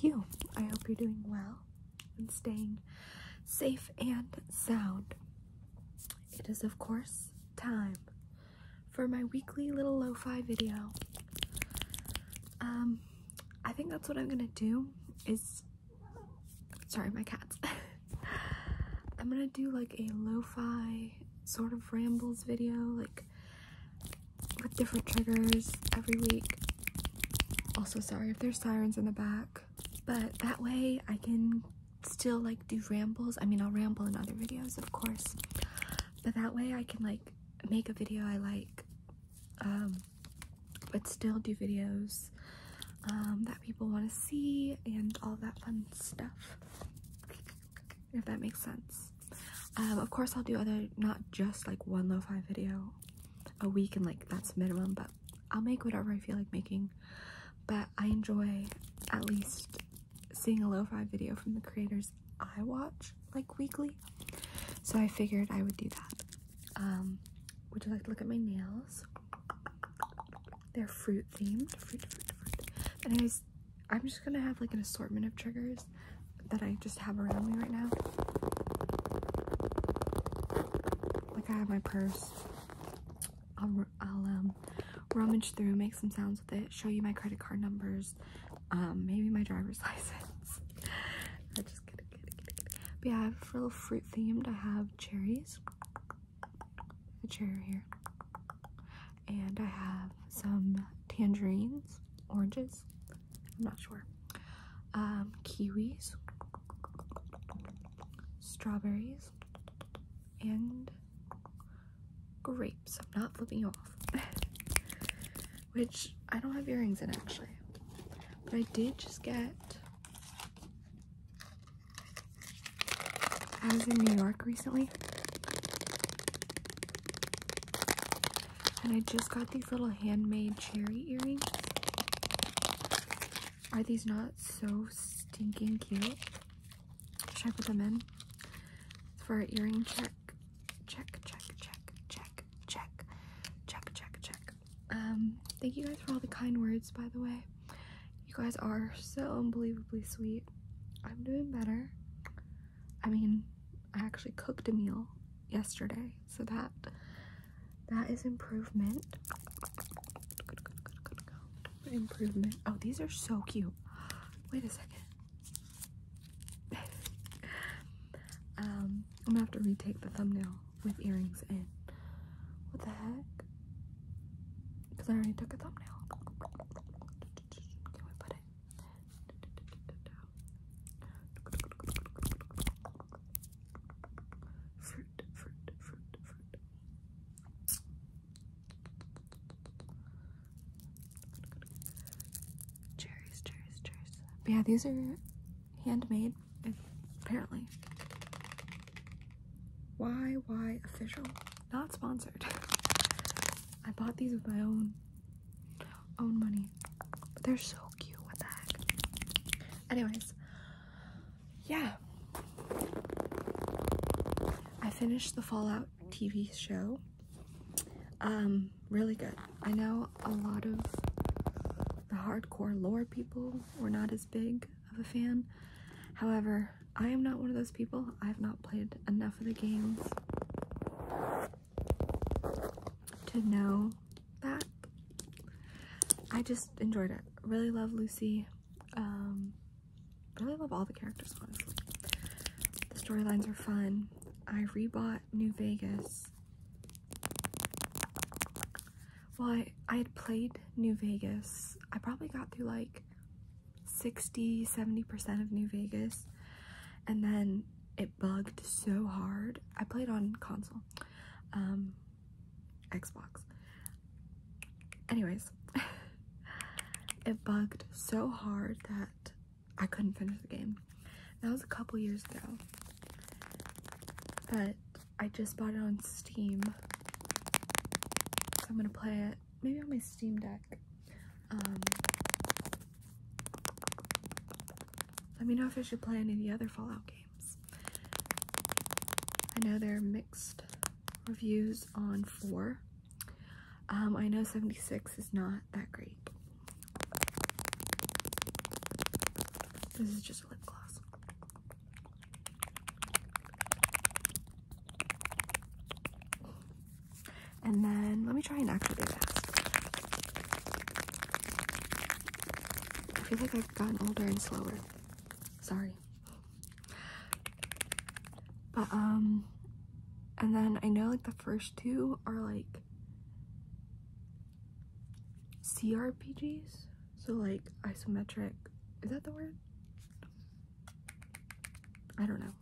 you. I hope you're doing well and staying safe and sound. It is, of course, time for my weekly little lo fi video. Um, I think that's what I'm gonna do. Is sorry, my cats. I'm gonna do like a lo fi sort of rambles video, like with different triggers every week. Also, sorry if there's sirens in the back, but that way I can still like do rambles. I mean, I'll ramble in other videos, of course, but that way I can like make a video I like, um, but still do videos um, that people want to see and all that fun stuff if that makes sense. Um, of course, I'll do other, not just like one lo-fi video a week, and like that's minimum, but I'll make whatever I feel like making. But I enjoy at least seeing a lo-fi video from the creators I watch like weekly, so I figured I would do that. Um, would you like to look at my nails? They're fruit themed triggers. I'm just gonna have like an assortment of triggers that I just have around me right now. Like I have my purse. I'll, I'll um, rummage through, make some sounds with it, show you my credit card numbers, um, maybe my driver's license. I just kidding, kidding, kidding. But yeah, I have a little fruit themed. I have cherries. A cherry here and I have some tangerines, oranges, I'm not sure, um, kiwis, strawberries, and grapes. I'm not flipping you off. Which I don't have earrings in actually. But I did just get I was in New York recently and I just got these little handmade cherry earrings. Are these not so stinking cute? Should I put them in? For our earring check. Check, check, check, check, check, check, check, check. Um, thank you guys for all the kind words, by the way. You guys are so unbelievably sweet. I'm doing better. I mean, I actually cooked a meal yesterday, so that that is improvement. Improvement. Oh, these are so cute. Wait a second. um, I'm gonna have to retake the thumbnail with earrings in. What the heck? Because I already took a thumbnail. Cherries, cherries, cherries. yeah, these are handmade, apparently. Why, why official? Not sponsored. I bought these with my own own money. But they're so cute. What the heck? Anyways, yeah. I finished the Fallout TV show. Um, really good. I know a lot of the hardcore lore people were not as big of a fan. However, I am not one of those people. I have not played enough of the games to know that. I just enjoyed it. Really love Lucy. Um, really love all the characters, honestly. The storylines are fun. I rebought New Vegas. Well, I, I had played New Vegas. I probably got through like 60 70% of New Vegas, and then it bugged so hard. I played on console, um, Xbox. Anyways, it bugged so hard that I couldn't finish the game. That was a couple years ago, but I just bought it on Steam. I'm gonna play it maybe on my Steam Deck. Um, let me know if I should play any other Fallout games. I know there are mixed reviews on 4. Um, I know 76 is not that great. This is just a lip gloss. And then let me try and actual big mask. I feel like I've gotten older and slower. Sorry. But um and then I know like the first two are like CRPGs. So like isometric is that the word? I don't know.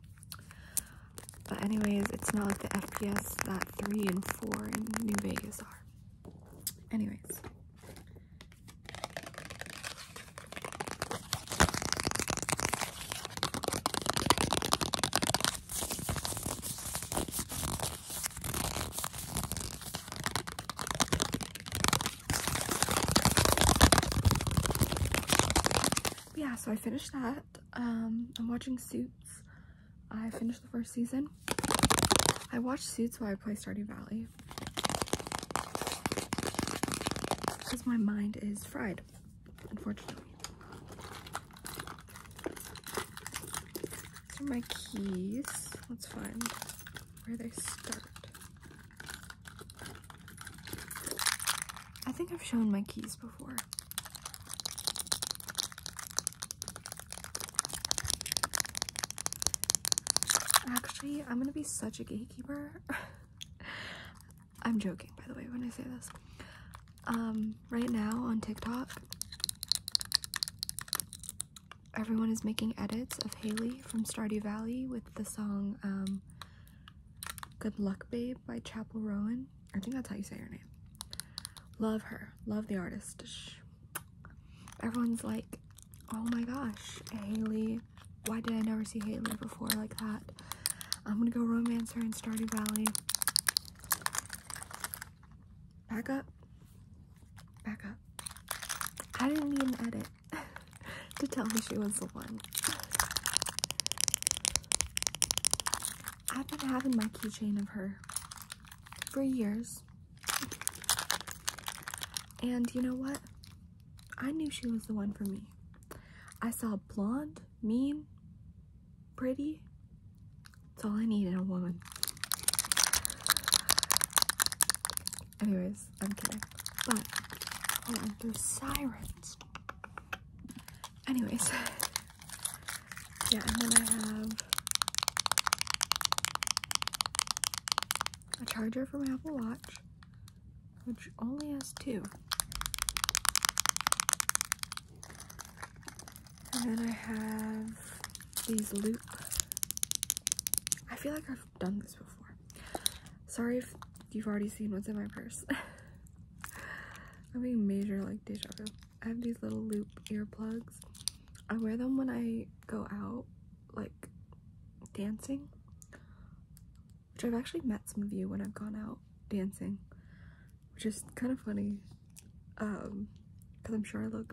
But anyways, it's not like the FPS that 3 and 4 in New Vegas are. Anyways yeah, so I finished that. Um, I'm watching Suits. I finished the first season. I watched Suits while I play Stardew Valley. Because my mind is fried, unfortunately. my keys. Let's find where they start. I think I've shown my keys before. Actually, I'm gonna be such a gatekeeper. I'm joking, by the way, when I say this. Um, right now on TikTok, everyone is making edits of Haley from Stardew Valley with the song um, Good Luck Babe by Chapel Rowan. I think that's how you say her name. Love her. Love the artist. Everyone's like, oh my gosh, Haley. Why did I never see Haley before like that? I'm gonna go romance her in Stardew Valley. Back up. Back up. I didn't need an edit to tell me she was the one. I've been having my keychain of her for years. And you know what? I knew she was the one for me. I saw blonde, mean, pretty. That's all I need in a woman. Anyways, I'm kidding. But oh, and the sirens. Anyways, yeah, and then I have a charger for my Apple Watch, which only has two. And then I have these loops. I feel like I've done this before. Sorry if you've already seen what's in my purse. I'm being major like deja vu. I have these little loop earplugs. I wear them when I go out, like dancing. Which I've actually met some of you when I've gone out dancing, which is kind of funny. because um, I'm sure I look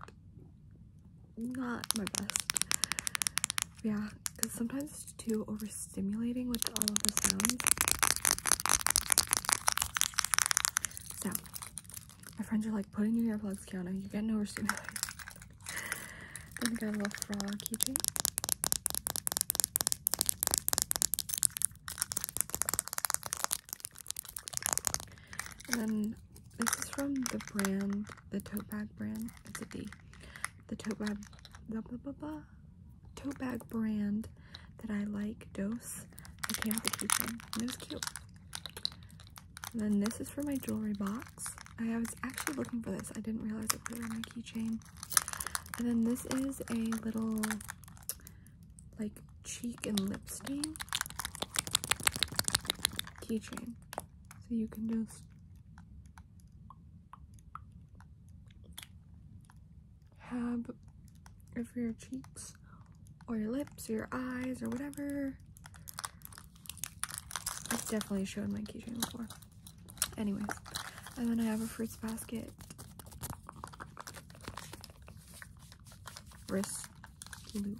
not my best. Yeah, because sometimes it's too overstimulating with all of the sounds. So, my friends are like, putting in your earplugs, Kiana. You get no overstimulated. then we got a frog keeping. And this is from the brand, the tote bag brand. It's a D. The tote bag, blah, blah, blah, tote bag brand that I like, Dose. I came with a keychain. And it was cute. And then this is for my jewelry box. I was actually looking for this. I didn't realize it was on my keychain. And then this is a little like cheek and lip stain keychain. So you can just have it for your cheeks or your lips or your eyes or whatever. I've definitely shown my keychain before. Anyway, and then I have a fruits basket wrist loop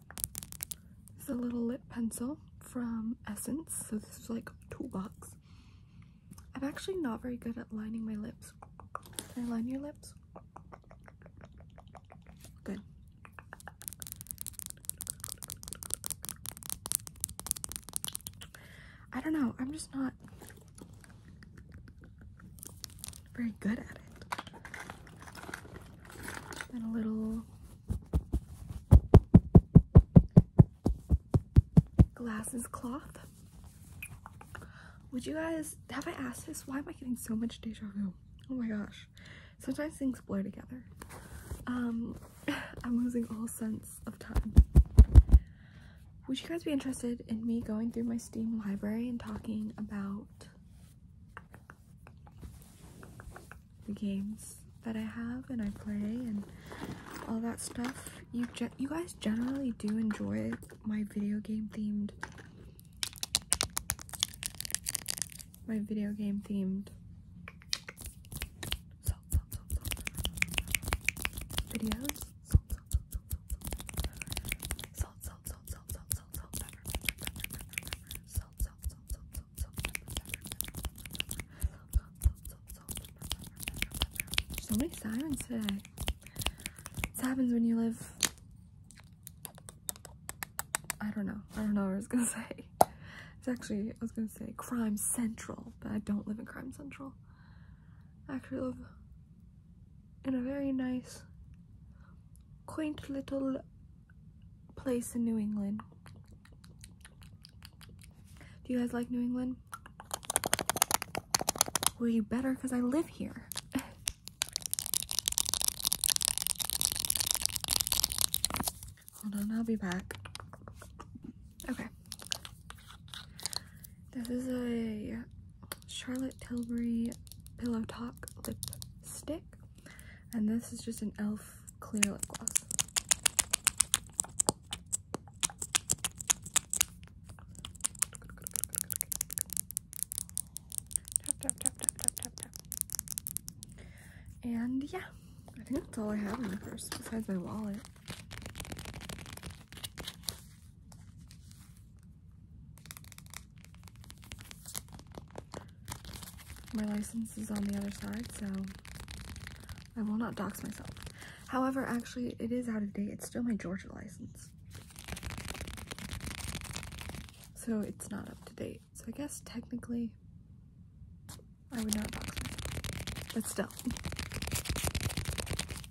this is a little lip pencil from Essence. So this is like toolbox. I'm actually not very good at lining my lips. Can I line your lips? Good. I don't know. I'm just not very good at it and a little glasses cloth. Would you guys, have I asked this? Why am I getting so much deja vu? Oh my gosh. Sometimes things blur together. Um, I'm losing all sense of time. Would you guys be interested in me going through my Steam library and talking about the games that I have and I play and all that stuff. You you guys generally do enjoy my video game themed my video game themed videos. So many sirens today. This happens when you live. I don't know. I don't know what I was gonna say. It's actually I was gonna say Crime Central, but I don't live in Crime Central. I actually live in a very nice, quaint little place in New England. Do you guys like New England? Well, you better because I live here. Hold on, I'll be back. Okay. This is a Charlotte Tilbury Pillow Talk Lip Stick. And this is just an e.l.f. clear lip gloss. And yeah, I think that's all I have in my purse besides my wallet. My license is on the other side, so I will not dox myself. However, actually, it is out of date. It's still my Georgia license. So it's not up to date. So I guess technically, I would not dox myself. But still. I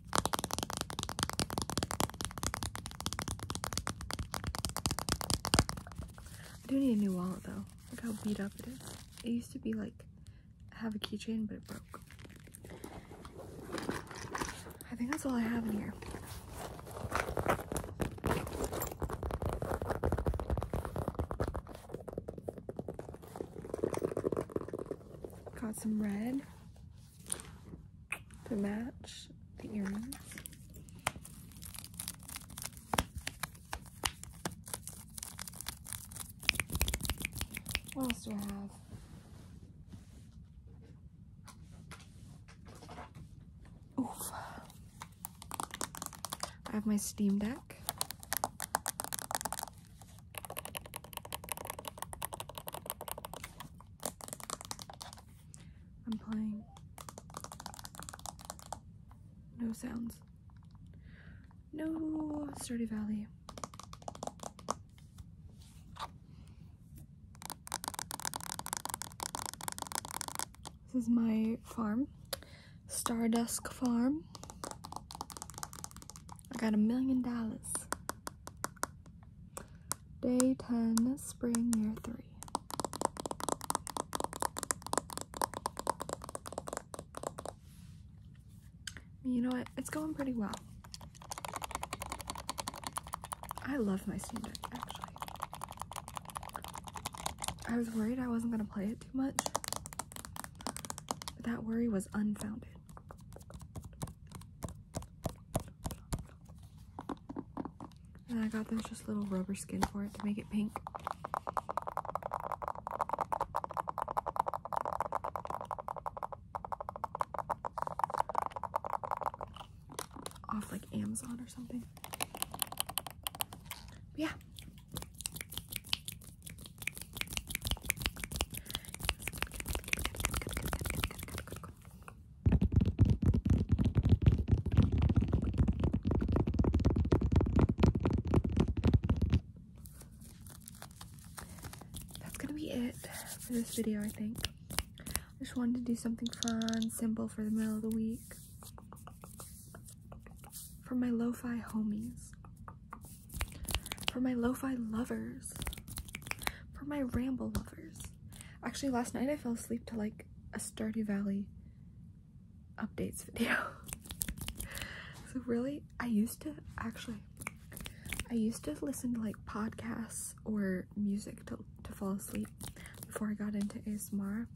do need a new wallet though. Look how beat up it is. It used to be like have a keychain, but it broke. I think that's all I have in here. Got some red to match the earrings. What else do I have? Oof. I have my Steam Deck. I'm playing no sounds. No Sturdy Valley. This is my farm, Stardusk Farm. I got a million dollars. Day 10, Spring Year 3. You know what? It's going pretty well. I love my Steam Deck, actually. I was worried I wasn't going to play it too much. But that worry was unfounded. And I got this just little rubber skin for it to make it pink. Off like Amazon or something. yeah. That's gonna be it for this video, I think. I just wanted to do something fun, simple for the middle of the week. For my lo-fi homies for my lo-fi lovers, for my ramble lovers. Actually, last night I fell asleep to like a Sturdy Valley updates video. so really, I used to actually, I used to listen to like podcasts or music to to fall asleep before I got into ASMR.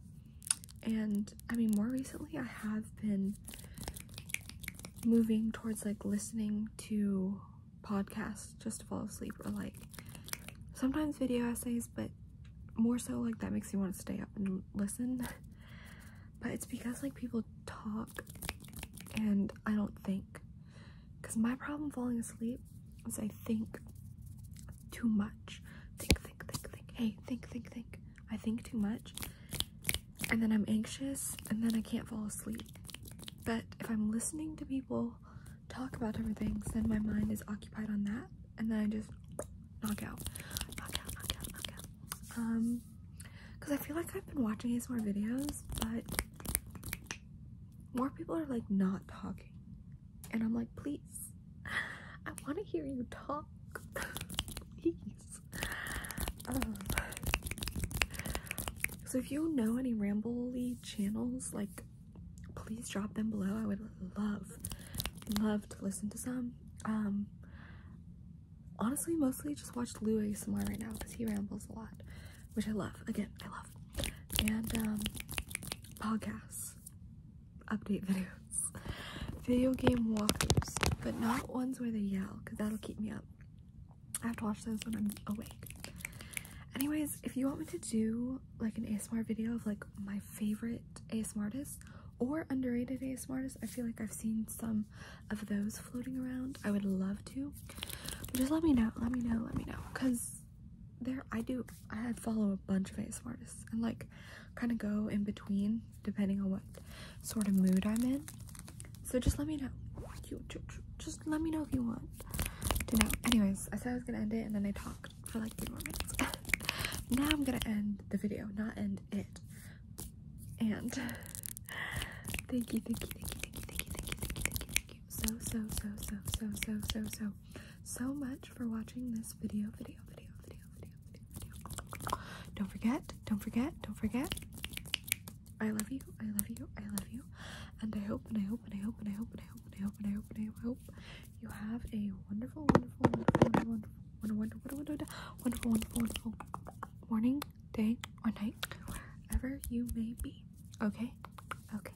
And I mean, more recently, I have been moving towards like listening to podcasts just to fall asleep or like sometimes video essays, but more so like that makes me want to stay up and listen. but it's because like people talk and I don't think. Because my problem falling asleep is I think too much. Think, think, think, think. Hey, think, think, think. I think too much and then I'm anxious and then I can't fall asleep. But if I'm listening to people talk about different things, then my mind is occupied on that and then I just knock out, knock out, knock out, knock out. Um, because I feel like I've been watching ASMR videos, but more people are like not talking. And I'm like, please, I want to hear you talk. please. Um, so if you know any rambly channels, like please drop them below. I would love, love to listen to some. Um, honestly, mostly just watch Lou ASMR right now because he rambles a lot, which I love. Again, I love. And um, podcasts, update videos, video game walkthroughs, but not ones where they yell because that'll keep me up. I have to watch those when I'm awake. Anyways, if you want me to do like an ASMR video of like my favorite ASMR artists or underrated ASMR artists, I feel like I've seen some of those floating around. I would love to. just let me know, let me know, let me know. Cause there I do I follow a bunch of ASMR artists and like kind of go in between depending on what sort of mood I'm in. So just let me know. Just let me know if you want to know. Anyways, I said I was gonna end it and then I talked for like three more minutes. now I'm gonna end the video, not end it. And thank you, thank you, thank you, thank you, thank you, thank you, thank you, thank you, thank you. So, so, so, so, so, so, so, so, so much for watching this video, video, video, video, video, video, video. Don't forget, don't forget, don't forget. I love you. I love you. I love you. And I hope and I hope and I hope and I hope and I hope and I hope and I hope and I hope you have a wonderful, wonderful, wonderful, wonderful, wonderful, wonderful, wonderful, wonderful, wonderful morning, day, or night, wherever you may be. Okay? Okay.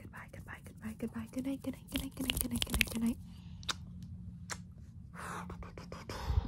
Goodbye, goodbye, goodbye, goodbye, good night, good night, good night, good night, good night, good night, good night.